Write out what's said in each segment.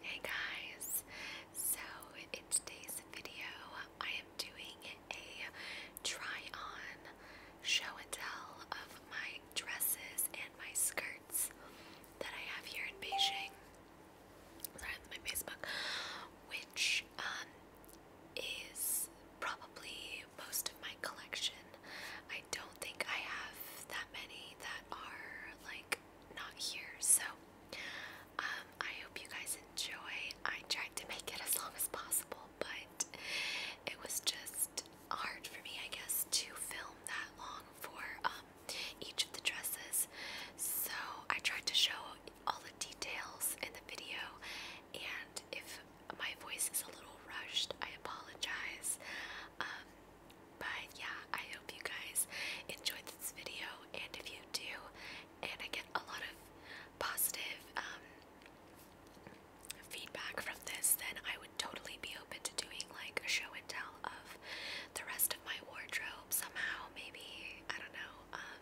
Hey guys, so in today's video I am doing a try on show and tell of my dresses and my skirts that I have here in Beijing, sorry my Facebook, which um, is probably most of my collection. I don't think I have that many that are like not here. So um, I hope you guys enjoy. I tried to make it as long as possible, but it was just hard for me, I guess, to film that long for um, each of the dresses. So I tried to show all the details in the video, and if my voice is a little rushed, I apologize. Um, but yeah, I hope you guys enjoyed this video, and if you do, and I get a lot of positive um, feedback from this, then I would totally be open to doing like a show and tell of the rest of my wardrobe somehow, maybe. I don't know. Um,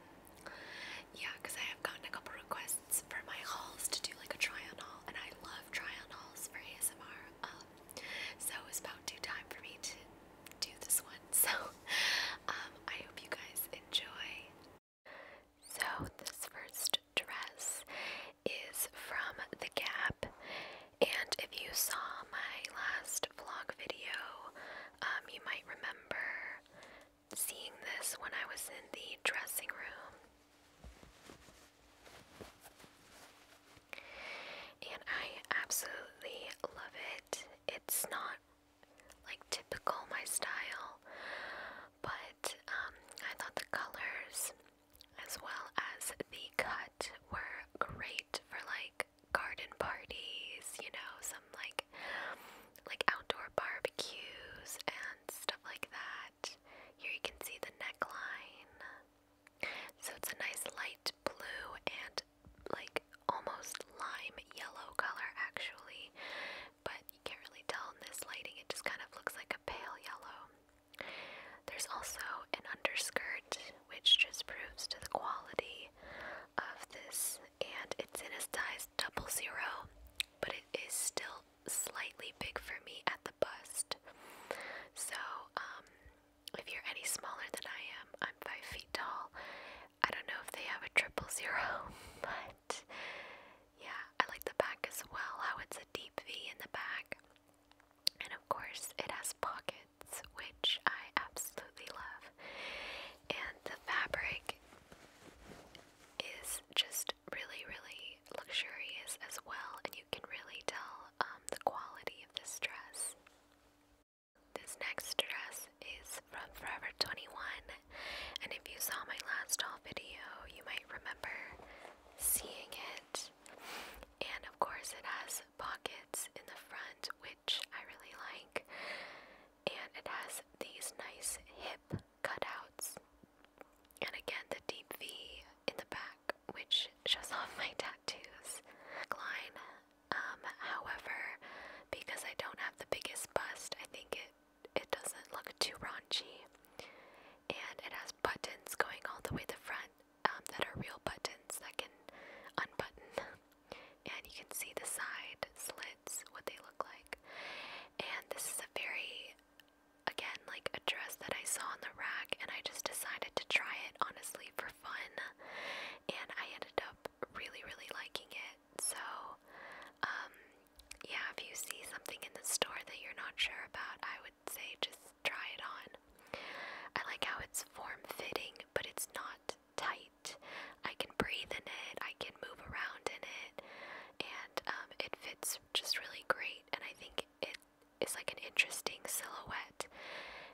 yeah, because I have gotten a couple requests for my hauls to do like a try on haul, and I love try on hauls for ASMR. Um, so it was about due time for me to do this one. So um, I hope you guys enjoy. So this first dress is from The Gap. And if you saw my last vlog video, um, you might remember seeing this when I was in the dressing room and I absolutely love it. It's not like typical my style, but um, I thought the colors as well as the cut were great for like garden parties, you know, some like like outdoor barbecues and stuff like that. Here you can see the neckline. So it's a nice light blue and like almost lime yellow color actually, but can't really tell in this lighting, it just kind of looks like a pale yellow. There's also an underskirt, which just proves to the quality of this, and it's in a size double zero, but it is still slightly big for me at the bust. So, um, if you're any smaller than I am, I'm five feet tall. I don't know if they have a triple zero, but yeah, I like the back as well, how it's a deep V in the back. And of course, it has pockets, which I absolutely love. And the fabric is just really, really luxurious as well, and you can really tell um, the quality of this dress. This next dress is from Forever 21, and if you saw my last haul video, you might remember seeing it. And of course, it has pockets in the front, which I really like, and it has these nice hip cutouts, and again, the deep V in the back, which shows off my tattoos. Line um, however, because I don't have the biggest bust, I think it it doesn't look too raunchy. And it has buttons going all the way the front um, that are real buttons that can unbutton. And you can see the side slits, what they look like. And this is a very, again, like a dress that I saw on the rack, and I just decided to try it honestly for fun, and I ended up really, really liking it. So, um, yeah, if you see something in the store that you're not sure about, I would say just try it on. I like how it's form fitting, but it's not tight. I can breathe in it, I can move around in it, and um, it fits just really great. And I think it is like an interesting silhouette.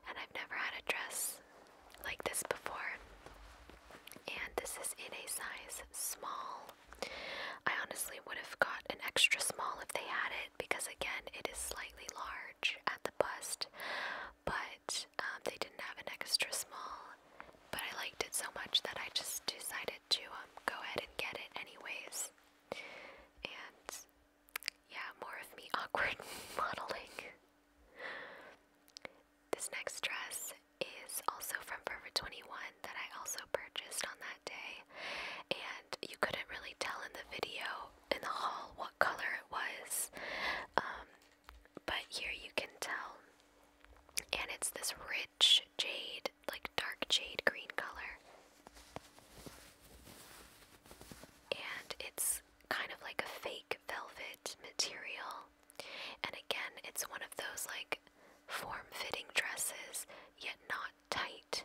And I've never had a dress like this before, and this is in a size small. I honestly would have got an extra small if they had it because, again, it is slightly large at the bust, but um, they didn't have an extra small. But I liked it so much that I just decided to um, go ahead and get it anyways. And yeah, more of me awkward modeling. This next dress is also from Forever 21 that I also purchased on that day, and you couldn't really tell in the video in the haul what color it was, um, but here you can tell. And it's this rich jade, like dark jade green color. And it's kind of like a fake velvet material. And again, it's one of those like form fitting dresses, yet not tight.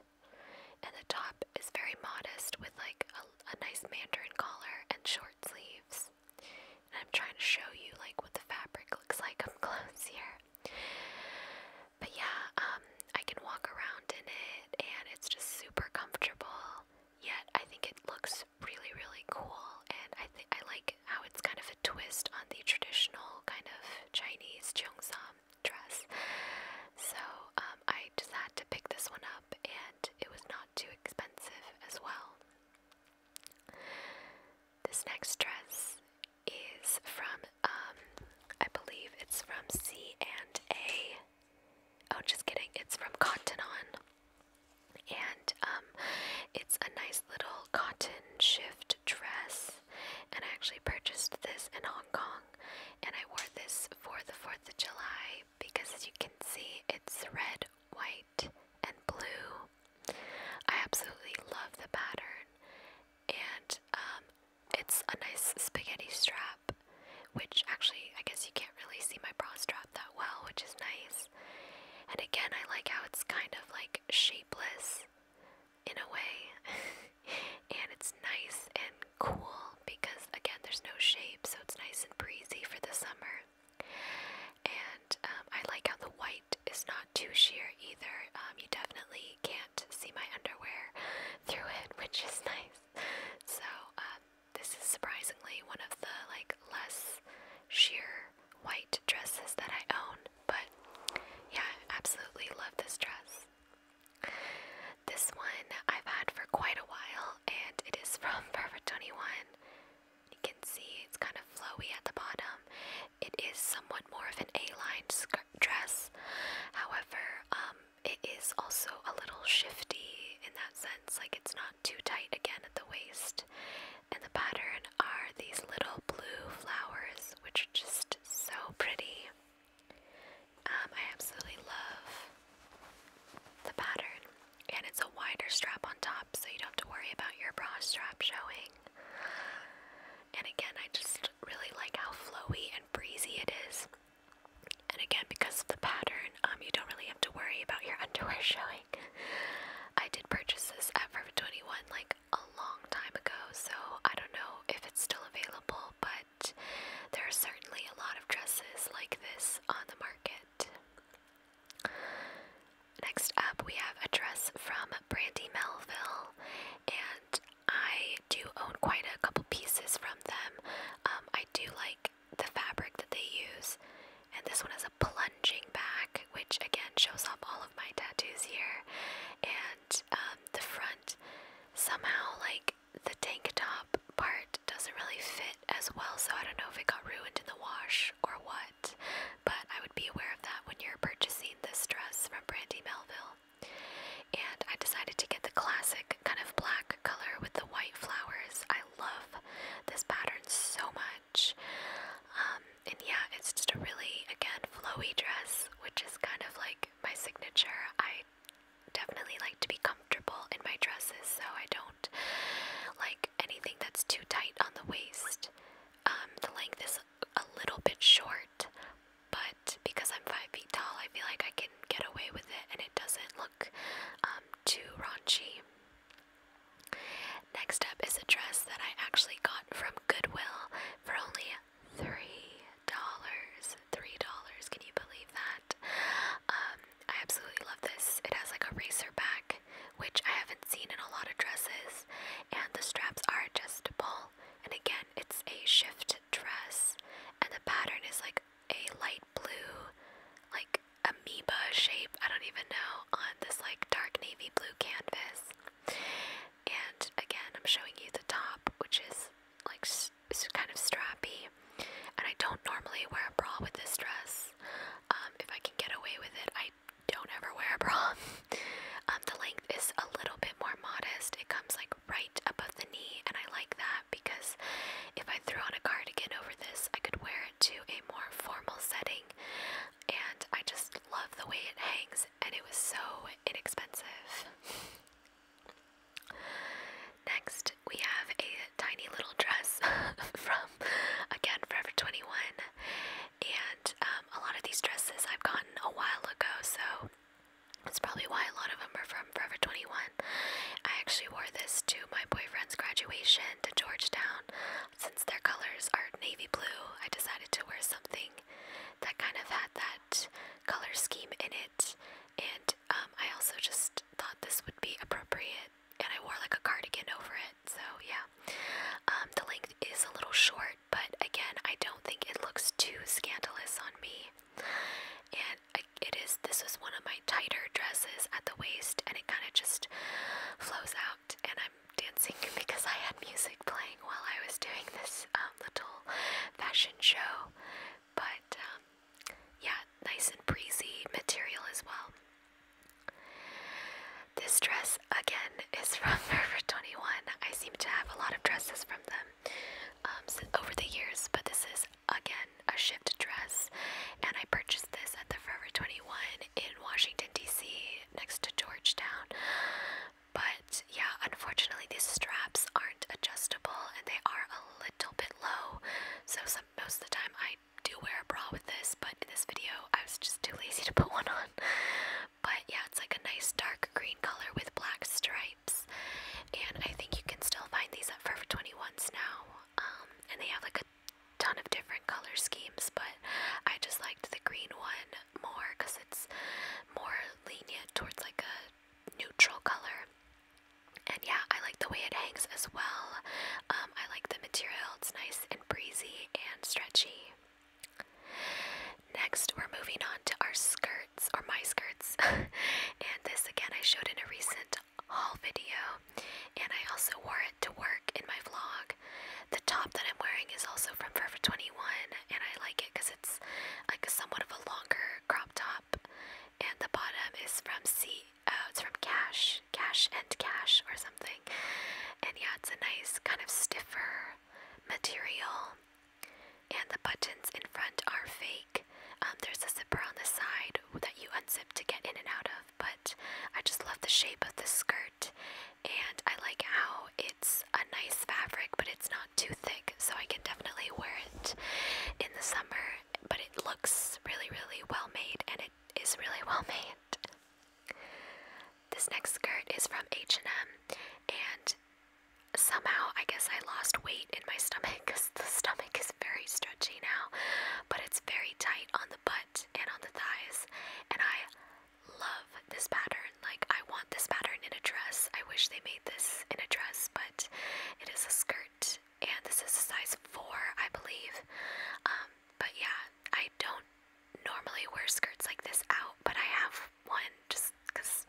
And the top is very modest with like a, a nice mandarin collar and short sleeves. And I'm trying to show you like what the fabric looks like up close here. But yeah, um, I can walk around in it and it's just super comfortable. Yet I think it looks really, really cool, and I think I like how it's kind of a twist on the traditional kind of Chinese cheongsam dress. So um, I just had to pick this one up, and it was not too expensive as well. This next dress is from, um, I believe it's from C and A. Oh, just kidding! It's from Cotton On and um, it's a nice little cotton shift dress. And I actually purchased this in Hong Kong, and I wore this for the 4th of July because, as you can see, it's red, white, and blue. I absolutely love the pattern, and um, it's a nice spaghetti strap which actually, I guess you can't really see my bra strap that well, which is nice. And again, I like how it's kind of like shapeless in a way, and it's nice and cool because, again, there's no shape, so it's nice and breezy for the summer. And um, I like how the white is not too sheer either. Um, you definitely can't see my underwear through it, which is nice. So, um, this is surprisingly one of the like less sheer white dresses that I own, but yeah, I absolutely love this dress. This one I've had for quite a while and it is from Forever 21. You can see it's kind of flowy at the bottom. It is somewhat more of an A-line dress. However, um, it is also a little shifty in that sense. Like it's not too tight again at the waist. And the pattern are these little blue flowers, which are just so pretty. Um, I absolutely love the pattern. And it's a wider strap on top, so you don't have to worry about your bra strap showing. And again, I just really like how flowy and breezy it is. And again, because of the pattern, um, you don't really have to worry about your underwear showing. I did purchase this at Forever 21 like a long time ago, so I don't know if it's still available, but there are certainly a lot of dresses like this on the market. Next up, we have a dress from Brandy Melville, and I do own quite a couple pieces from them. Um, I do like the fabric that they use. And this one has a plunging back, which again shows off all of my tattoos here. And um, the front, somehow, like the tank top part doesn't really fit as well, so I don't know if it got ruined in the wash or what. But I would be aware of that when you're purchasing this dress from Brandy Melville. And I decided to get the classic kind of black color with the white flowers. I love this pattern so much. Um, and yeah, it's just a really, again, flowy dress, which is kind of like my signature. I definitely like to be comfortable in my dresses, so I don't like anything that's too tight on the waist. Um, the length is a little bit short, but because I'm five feet tall, I feel like I can get away with it and it doesn't look um, too raunchy. Next up is a dress that I actually got from Goodwill for only three dollars. Three dollars, can you believe that? Um, I absolutely love this. It has like a racer back, which I haven't seen in a lot of dresses, and the straps are adjustable. And again, it's a shift dress, and the pattern is like a light blue, like amoeba shape, I don't even know, on this like dark navy blue canvas. And again, I'm showing you the top, which is like kind of strappy. And I don't normally wear a bra with this dress. Um, if I can get away with it, I don't ever wear a bra. Um, the length is a little bit more modest. It comes like right above the knee, and I like that because if I throw on a cardigan over this, I could wear it to a more formal setting, and I just love the way it hangs, and it was so inexpensive. Next, we have a tiny little dress from again Forever 21, and um, a lot of these dresses I've gotten a while ago, so. That's probably why a lot of them are from Forever 21. I actually wore this to my boyfriend's graduation to Georgetown since their colors are navy blue, I decided to wear something that kind of had that color scheme in it. And um, I also just thought this would be appropriate. And I wore like a cardigan over it. So yeah. Um, the length is a little short, but again, I don't think it looks too scandalous on me. And it is, this was one of my tighter dresses at the waist and it kind of just flows out and I'm dancing because I had music playing while I was doing this um, little fashion show. But um, yeah, nice and breezy material as well. This dress again is from Forever 21. I seem to have a lot of dresses from them um, over the years, but this is again a shift dress, and I purchased this at the Forever 21 in Washington, D.C., next to Georgetown. But yeah, unfortunately, these straps aren't adjustable and they are a little bit low. So, some, most of the time, I do wear a bra with this, but in this video, I was just too lazy to put one on. But yeah, it's like a nice dark green color with black stripes, and I think you can still find these at Forever 21s now. Um, and they have like a ton of different color schemes, but I just liked the green one more because it's more lenient towards like a neutral color. And yeah, I like the way it hangs as well. Um, I like the material, it's nice and breezy and stretchy. Next, we're moving on to our skirts, or my skirts. and this again, I showed in a recent haul video, and I also wore it to work in my vlog. The top that I'm wearing is also from Forever 21 and I like it because it's like a somewhat of a longer crop top and the bottom is from C uh, it's from Cash, Cash and Cash or something. And yeah, it's a nice kind of stiffer material and the buttons in front are fake. Um, there's a zipper on the side that you unzip to get in and out of but I just love the shape of the skirt and I like how it's a nice fabric, but it's not too thick, so I can definitely wear it in the summer. But it looks really, really well made, and it is really well made. This next skirt is from H&M, and somehow I guess I lost weight in my stomach because the stomach is very stretchy now, but it's very tight on the butt and on the thighs, and I love this pattern. Like, I want this pattern in a dress. I wish they made this in a dress, but it is a skirt, and this is a size 4, I believe. Um, but yeah, I don't normally wear skirts like this out, but I have one just because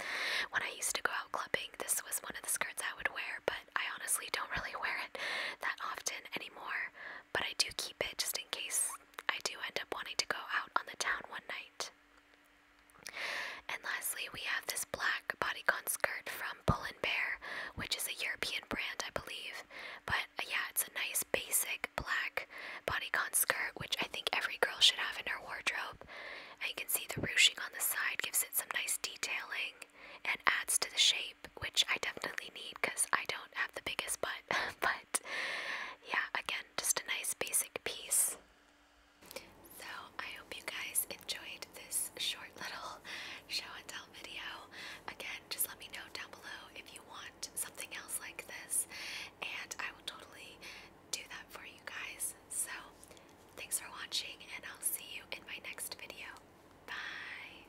when I used to go out clubbing, this was one of the skirts I would wear, but I honestly don't really wear it that often anymore but I do keep it just in case I do end up wanting to go out on the town one night. And lastly, we have this black bodycon skirt from Pull and Bear, which is a European brand, I believe. But uh, yeah, it's a nice basic black bodycon skirt, which I think every girl should have in her wardrobe. And you can see the ruching on the side gives it some nice detailing and adds to the shape, which I definitely need because I don't have the biggest butt, but yeah, again, just a nice basic piece. So I hope you guys enjoyed this short little show and tell video. Again, just let me know down below if you want something else like this, and I will totally do that for you guys. So thanks for watching, and I'll see you in my next video. Bye.